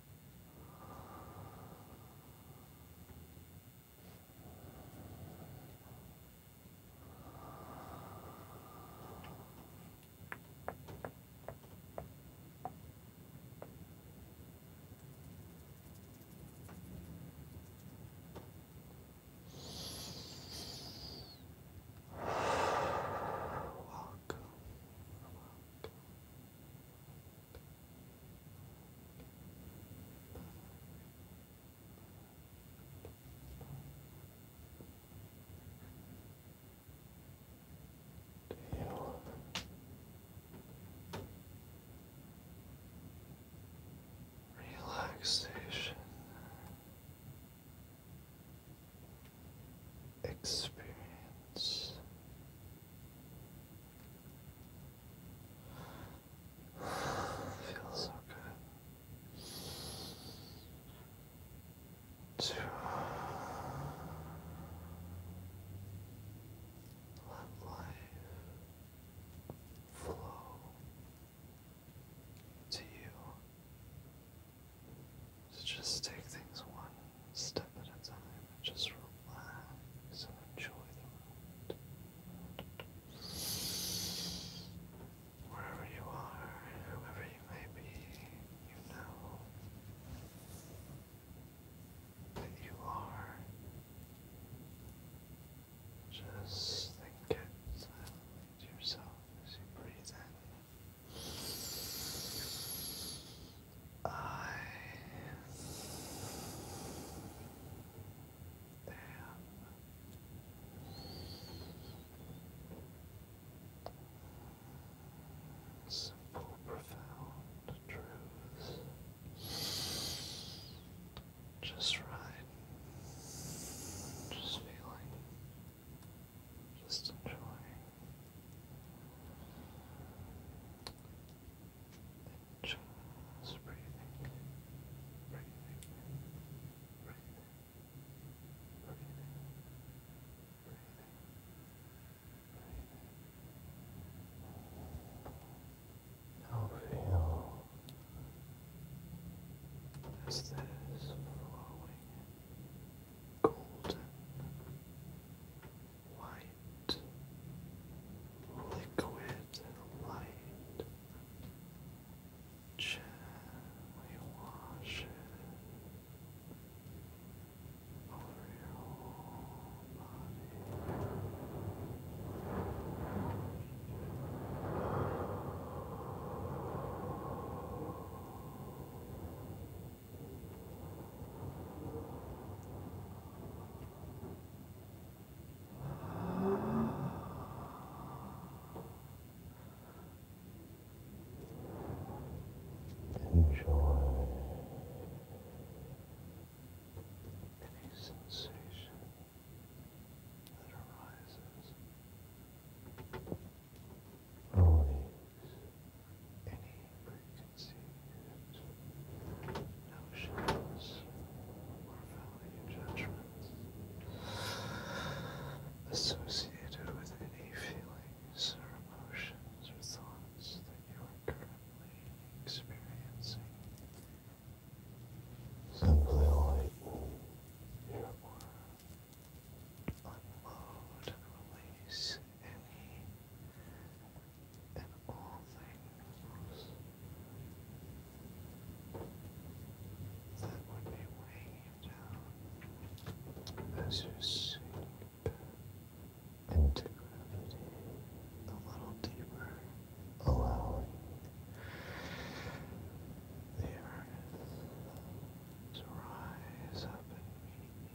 Welcome, welcome, Feel relaxation experience. Feels so good. To let life flow to you just take things one step at a time and just relax and enjoy the moment. Wherever you are, whoever you may be, you know that you are. Just think it silently to yourself as you breathe in. I am simple, profound truths. Just right, just feeling, just enjoying. Just breathing, breathing, breathing, breathing, breathing, breathing. Now feel as this flowing golden white, liquid light gently wash over your body sensation that arises Mornings, any preconceived notions or value judgments associated with any feelings or emotions or thoughts that you are currently experiencing. Simply lighten your Unload release any and all things that would be weighing down as you sink into gravity a little deeper, allowing the to rise up and meet you.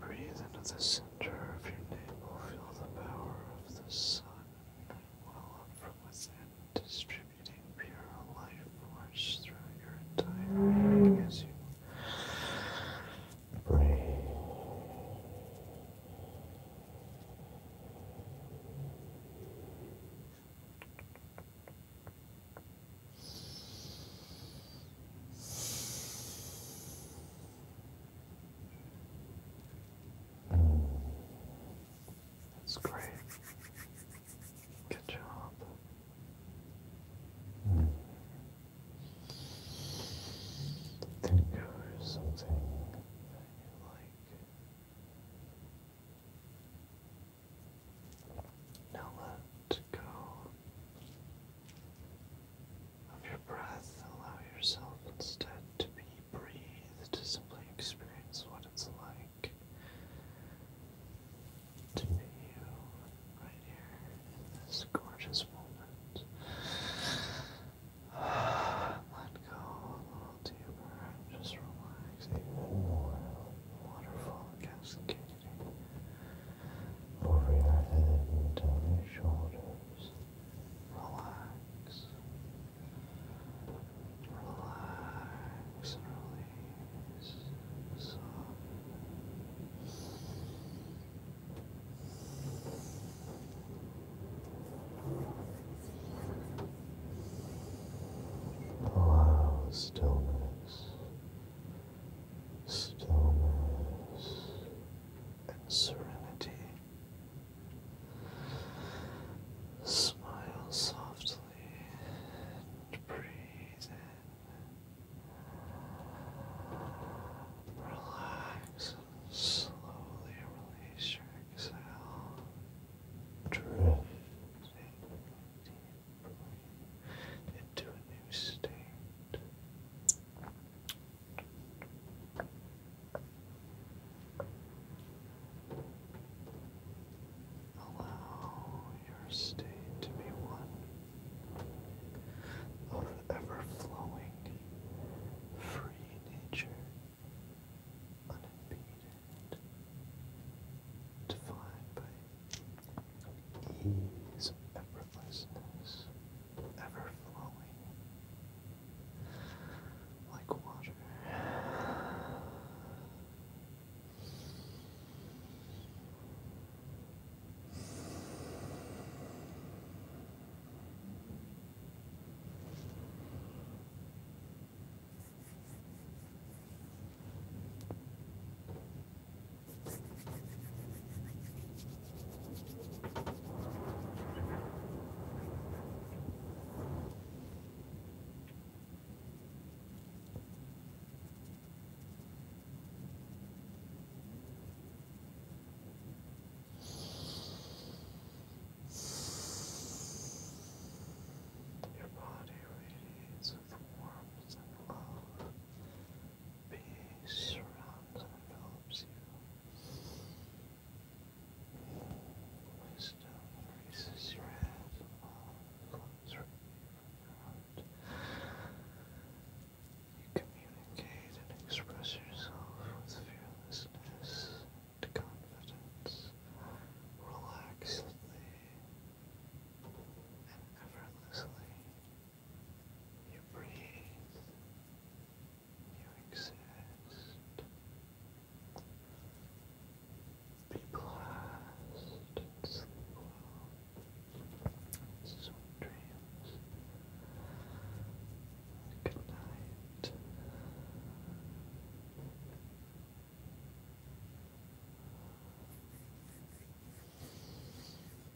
breathe into the center of your navel, feel the power of the sun well up from within, distributing pure life force through your entire being as you Breathe. That's great. Good job. Think of something that you like. Now let go of your breath, allow yourself instead to be breathed, to simply experience what it's like to be you right here in this gorgeous moment. Let go a little deeper just relax even more. Waterfall cascading over your head and down your shoulders. Relax. Relax release. Allow stillness, stillness, and serenity Smile softly and breathe in. Relax and slowly release your exhale. Drifting into a new state. Allow your state to be one of ever flowing, free nature, unimpeded, defined by ease of effortlessness, ever flowing like water. Your body radiates with warmth and love. Peace surrounds and envelops you. Wisdom raises your head and your heart. You communicate and express yourself with fearlessness and confidence, relaxedly and effortlessly. You breathe you exist. Be blessed Sweet dreams. Good night.